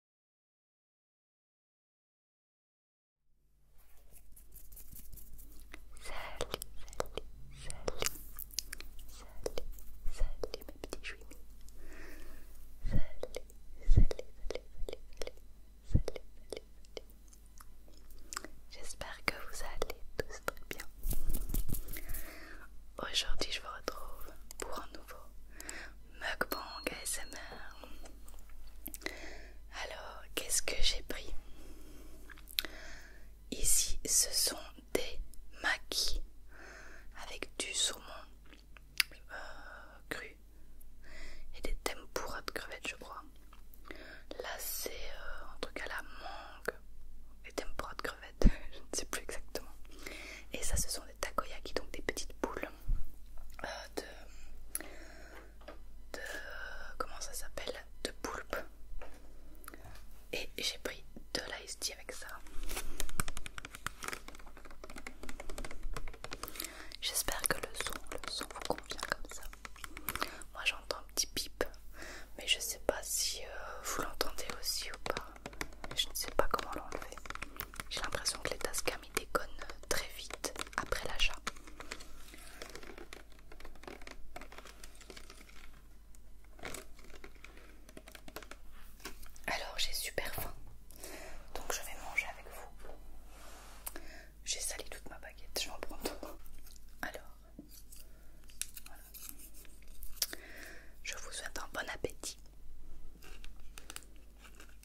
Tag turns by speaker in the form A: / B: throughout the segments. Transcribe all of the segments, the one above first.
A: Salut, salut, salut, salut, salut mes petits Salut, Salut, salut, salut, salut, salut, salut, salut. J'espère que vous allez tous très bien. Aujourd'hui, je vous retrouve pour un nouveau Mukbang ASMR. Alors, qu'est-ce que j'ai pris Ici, ce sont des maquis avec du saumon euh, cru et des tempura de crevettes, je crois. Là, c'est en euh, un truc la mangue et tempura de crevettes, je ne sais plus exactement. Et ça, ce sont takoyaki, donc des petites boules euh, de, de. Comment ça s'appelle De poulpe. Et j'ai pris de l'ice tea avec ça. J'espère que le son, le son vous convient comme ça. Moi j'entends un petit pip, mais je sais pas si euh, vous l'entendez aussi ou pas. Je ne sais pas comment l'enlever. J'ai l'impression que les tasques déconne très vite après l'achat. Alors j'ai super faim, donc je vais manger avec vous. J'ai sali toute ma baguette, je m'en prends tout Alors, Je vous souhaite un bon appétit.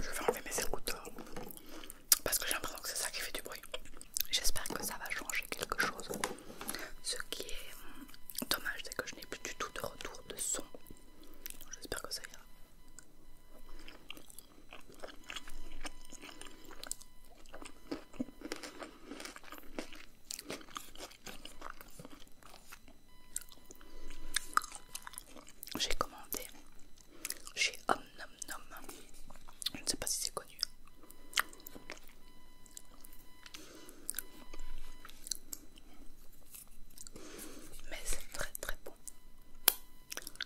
A: Je vais enlever mes écouteurs parce que j'ai l'impression que c'est ça qui fait du bruit. J'espère que ça va changer quelque chose. Ce qui est hmm, dommage, c'est que je n'ai plus du tout de retour de son. J'espère que ça ira. J'ai commandé chez Om Nom Nom. Je ne sais pas si c'est connu. Mais c'est très très bon.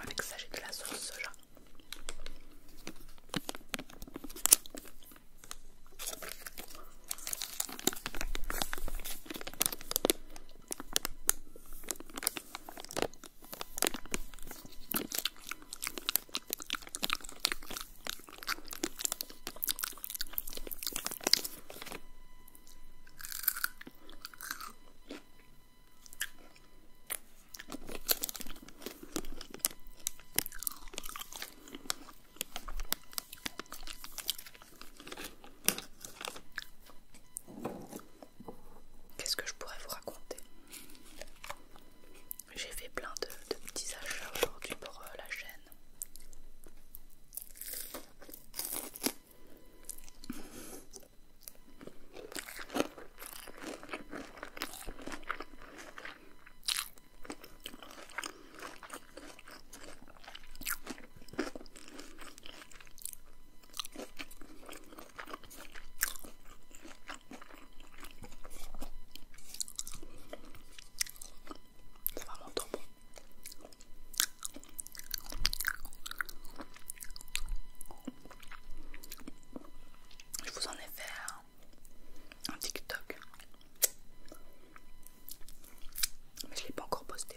A: Avec ça, j'ai de la sauce soja. Qu'est-ce que je pourrais vous raconter j'ai fait plein de, petits achats aujourd'hui pour euh, la chaîne. Je vous en ai fait un, un TikTok, mais je l'ai pas encore posté.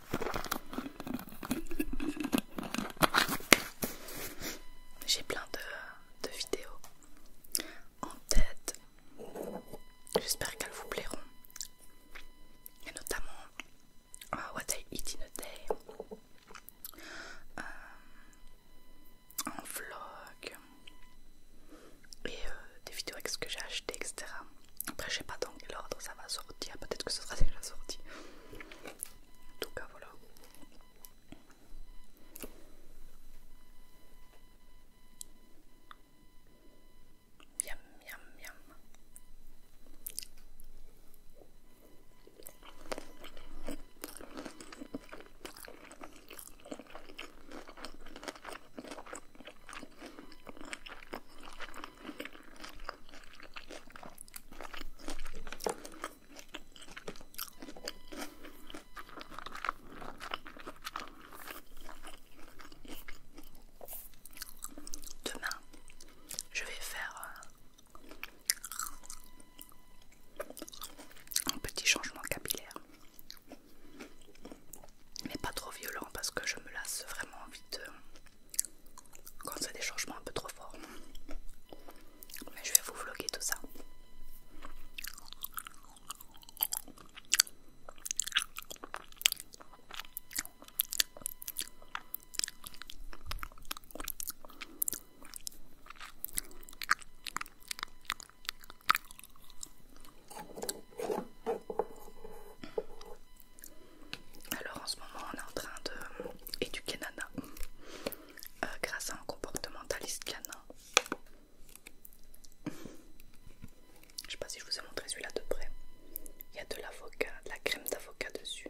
A: J'ai plein de, vidéos en tête. J'espère qu'elles vous plairont. Et notamment euh, What I Eat in a Day. un euh, vlog et euh, des vidéos avec ce que j'ai acheté etc après, je sais pas dans quel ordre ça va sortir, peut-être que ce sera déjà sorti. En tout cas, voilà. Miam, miam, miam. Demain, je vais faire euh, un petit changement capillaire mais pas trop violent parce que je me lasse vraiment vite euh, quand c'est des changements un peu trop forts. Mais je vais vous vloguer tout ça. Alors en ce moment on est en train d'éduquer Nana euh, grâce à un comportementaliste Nana. Je sais pas si je vous ai montré celui-là de près. Il y a de l'avocat, de la crème d'avocat dessus.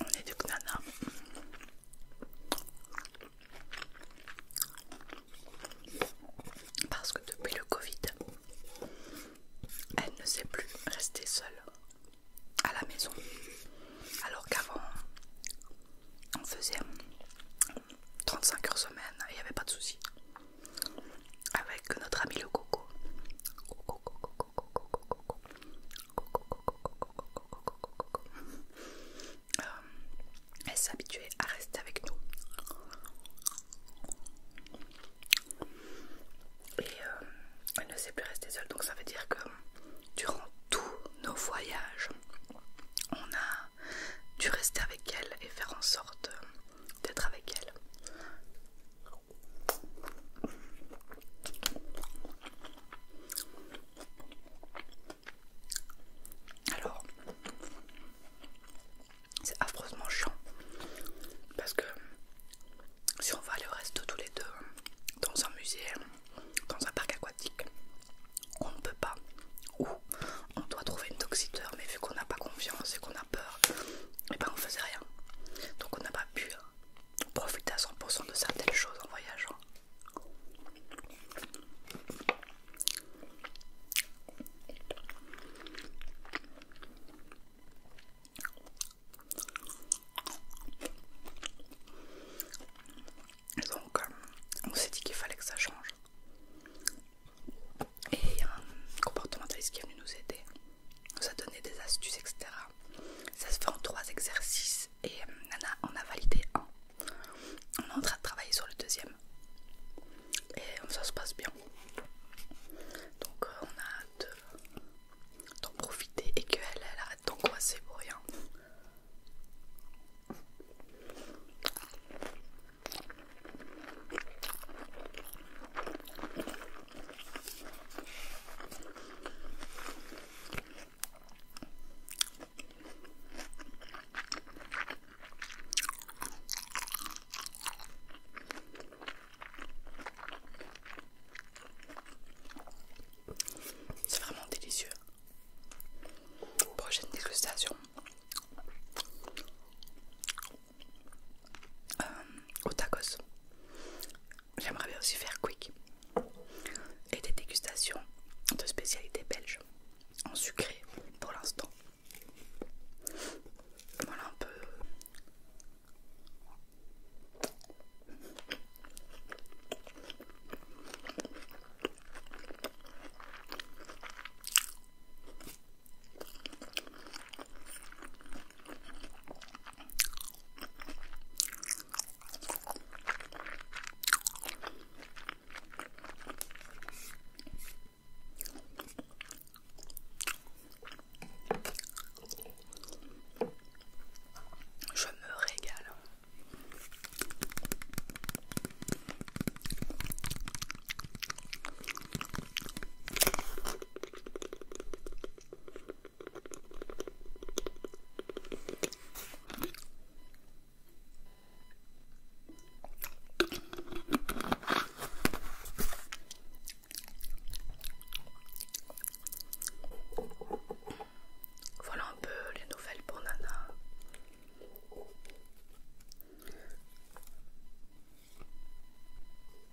A: On est du Knana. Parce que depuis le Covid, elle ne sait plus rester seule à la maison. Alors qu'avant, on faisait 35 heures semaine et il n'y avait pas de souci avec notre ami le coco. Euh, elle s'est habituée à rester avec nous. Et euh, elle ne sait plus rester seule, donc ça veut dire que durant tous nos voyages, on a dû rester avec elle et faire en sorte d'être avec elle. Alors, c'est affreusement chiant parce que si on va aller au tous les deux dans un musée, dans un parc aquatique, on ne peut pas, ou on doit trouver une toxiteur, mais vu qu'on n'a pas confiance et qu'on a peur, et eh ben on faisait rien. Donc on n'a pas pu hein, profiter à 100% de certaines choses en voyageant. Donc, euh, on s'est dit qu'il fallait que ça change. Et un euh, comportementaliste qui est venu nous aider, nous a donné des astuces, etc. Ça se fait en trois exercices et euh, Nana en a validé un. On est en train de travailler sur le deuxième. Et euh, ça se passe bien. Donc on a hâte d'en profiter et qu'elle elle arrête d'angoisser pour rien. C'est vraiment délicieux. Prochaine dégustation. Euh, au tacos. J'aimerais bien aussi faire quick et des dégustations de spécialités belge en sucré pour l'instant. Voilà un peu. Je me régale. Voilà un peu les nouvelles pour Nana.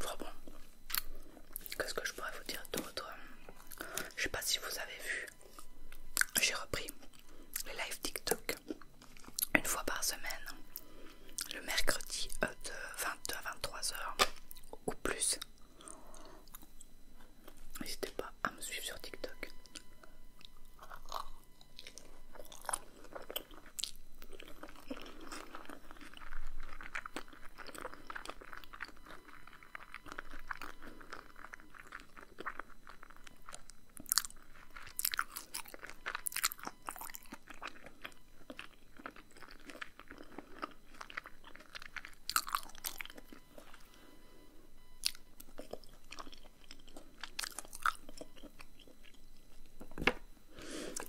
A: Vraiment, Qu'est-ce que je pourrais vous dire d'autre Je sais pas si vous avez vu. J'ai repris les live TikTok une fois par semaine, le mercredi euh, de 22 à 23 heures ou plus. N'hésitez pas à me suivre sur TikTok.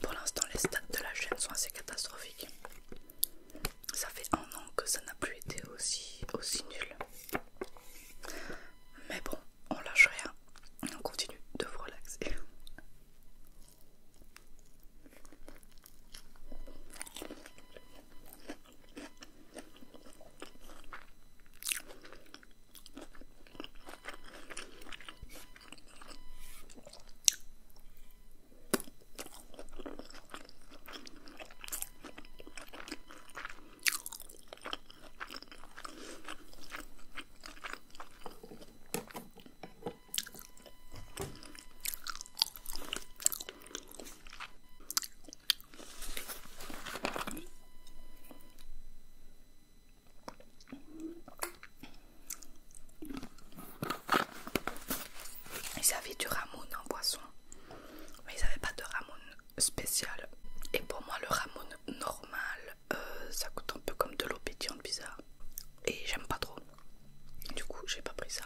A: Pour l'instant, les stats de la chaîne sont assez catastrophiques. Ça fait un an que ça n'a plus été aussi, aussi nul. Mais bon, on lâche rien, on continue de relaxer. Ils avaient du ramoun en boisson, mais ils n'avaient pas de ramoun spécial. Et pour moi, le ramon normal, euh, ça coûte un peu comme de l'eau bizarre. Et j'aime pas trop. Du coup, j'ai pas pris ça.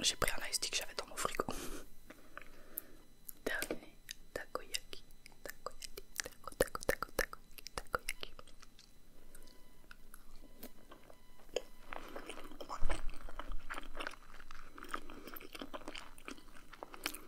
A: J'ai pris un ice que j'avais dans mon frigo. Dernier takoyaki. Takoyaki. takoyaki, takoyaki.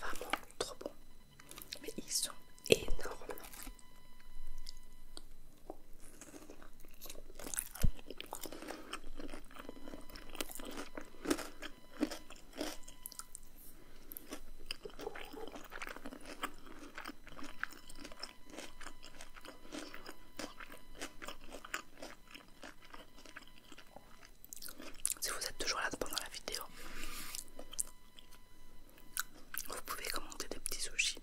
A: va vraiment trop bon. Mais ils sont énormes. Si vous êtes toujours là pendant la vidéo, vous pouvez commenter des petits sushis.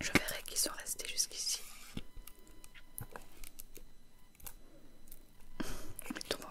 A: Je verrai qu'ils sont restés jusqu'ici. Mettons dans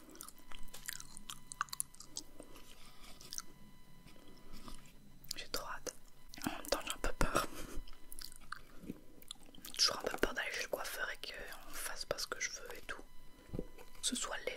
A: J'ai trop hâte. En même temps, j'ai un peu peur. Toujours un peu peur d'aller chez le coiffeur et qu'on fasse pas ce que je veux et tout. Que ce soit les.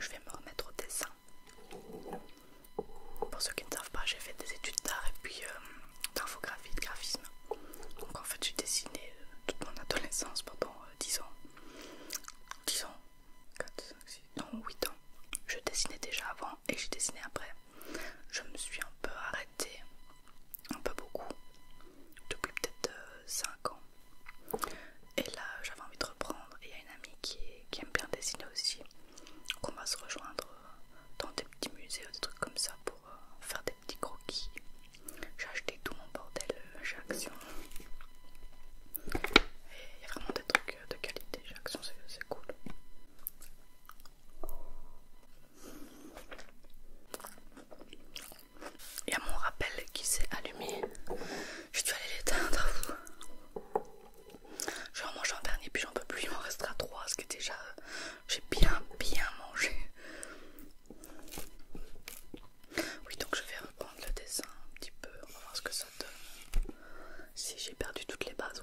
A: Je vais me remettre au dessin. Pour ceux qui ne savent pas, j'ai fait des études d'art et puis euh, d'infographie, de graphisme. Donc en fait, j'ai dessiné euh, toute mon adolescence pendant 10 euh, ans. 10 ans 4, 5, 6, non, 8 ans. Je dessinais déjà avant, et j'ai dessiné après. Je me suis un peu arrêtée, un peu beaucoup, depuis peut-être 5 euh, ans. Et là, j'avais envie de reprendre. Et il y a une amie qui, aime bien dessiner aussi. qu'on va se rejoindre euh, dans des petits musées ou des trucs comme ça pour euh, faire des petits croquis. J'ai acheté tout mon bordel chez Action. Et il y a vraiment des trucs de qualité chez Action, c'est cool. Il y a mon rappel qui s'est allumé. Je dû aller l'éteindre. Je vais en manger un dernier, puis j'en peux plus. Il m'en restera trois, ce qui est déjà. Euh, j'ai bien, bien mangé. Oui, donc je vais reprendre le dessin un petit peu. On va voir ce que ça donne. Si j'ai perdu toutes les bases,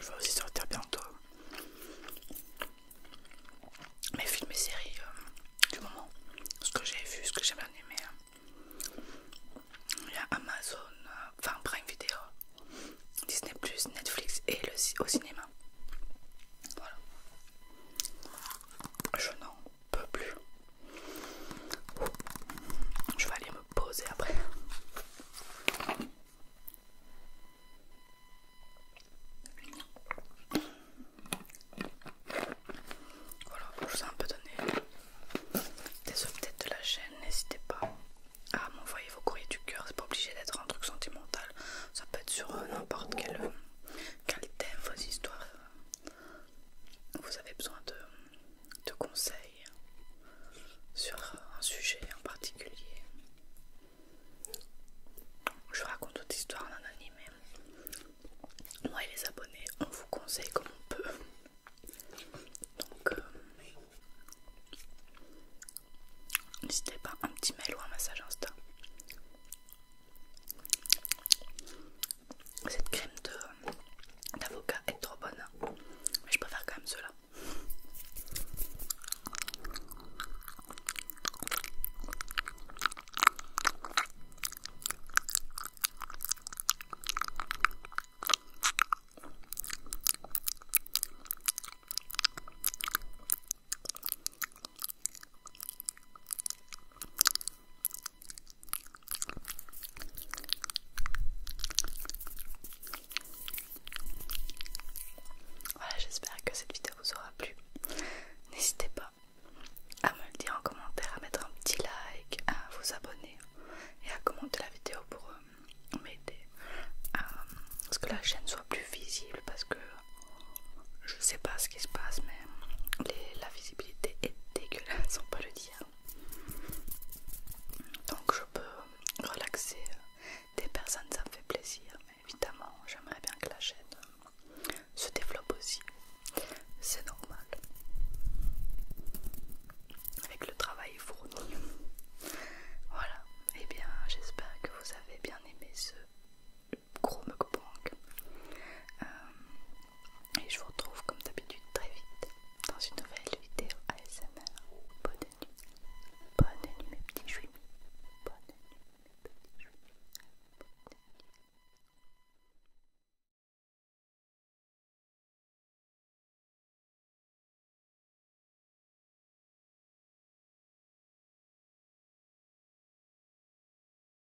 A: Je vais aussi sortir bientôt mes films et séries euh, du moment. Ce que j'ai vu, ce que j'ai bien aimé. Il y a Amazon, enfin euh, enfin Prime Video, Disney, Netflix et le, au cinéma. Voilà. Je n'en peux plus. Je vais aller me poser après. Voilà, je vous ai un peu donné des sous-têtes de la chaîne. N'hésitez pas à m'envoyer vos courriers du cœur. C'est pas obligé d'être un truc sentimental. Ça peut être sur euh, n'importe quelle euh, qualité vos histoires vous avez besoin de, conseils sur un sujet en particulier. Je raconte toute histoire en anime. Moi et les abonnés, on vous conseille comme on peut. Donc, euh, n'hésitez pas, un petit mail ou un message Insta. Cette crème d'avocat est trop bonne, mais je préfère quand même cela. Voilà, j'espère que cette vidéo vous aura plu. N'hésitez pas à me le dire en commentaire, à mettre un petit like, à vous abonner et à commenter la vidéo pour euh, m'aider euh, à ce que la chaîne soit plus visible parce que je sais pas ce qui se passe, mais la visibilité est dégueulasse, on peut le dire. Donc je peux relaxer des personnes, ça me fait plaisir, mais évidemment, j'aimerais bien que la chaîne se développe aussi, c'est normal. Avec le travail fourni. Voilà, et eh bien j'espère que vous avez bien aimé ce gros mukbang. Euh, et je vous retrouve comme d'habitude très vite dans une nouvelle vidéo ASMR. Bonne nuit. Bonne nuit mes petits jouets. Bonne nuit mes petits jouets. Bonne nuit.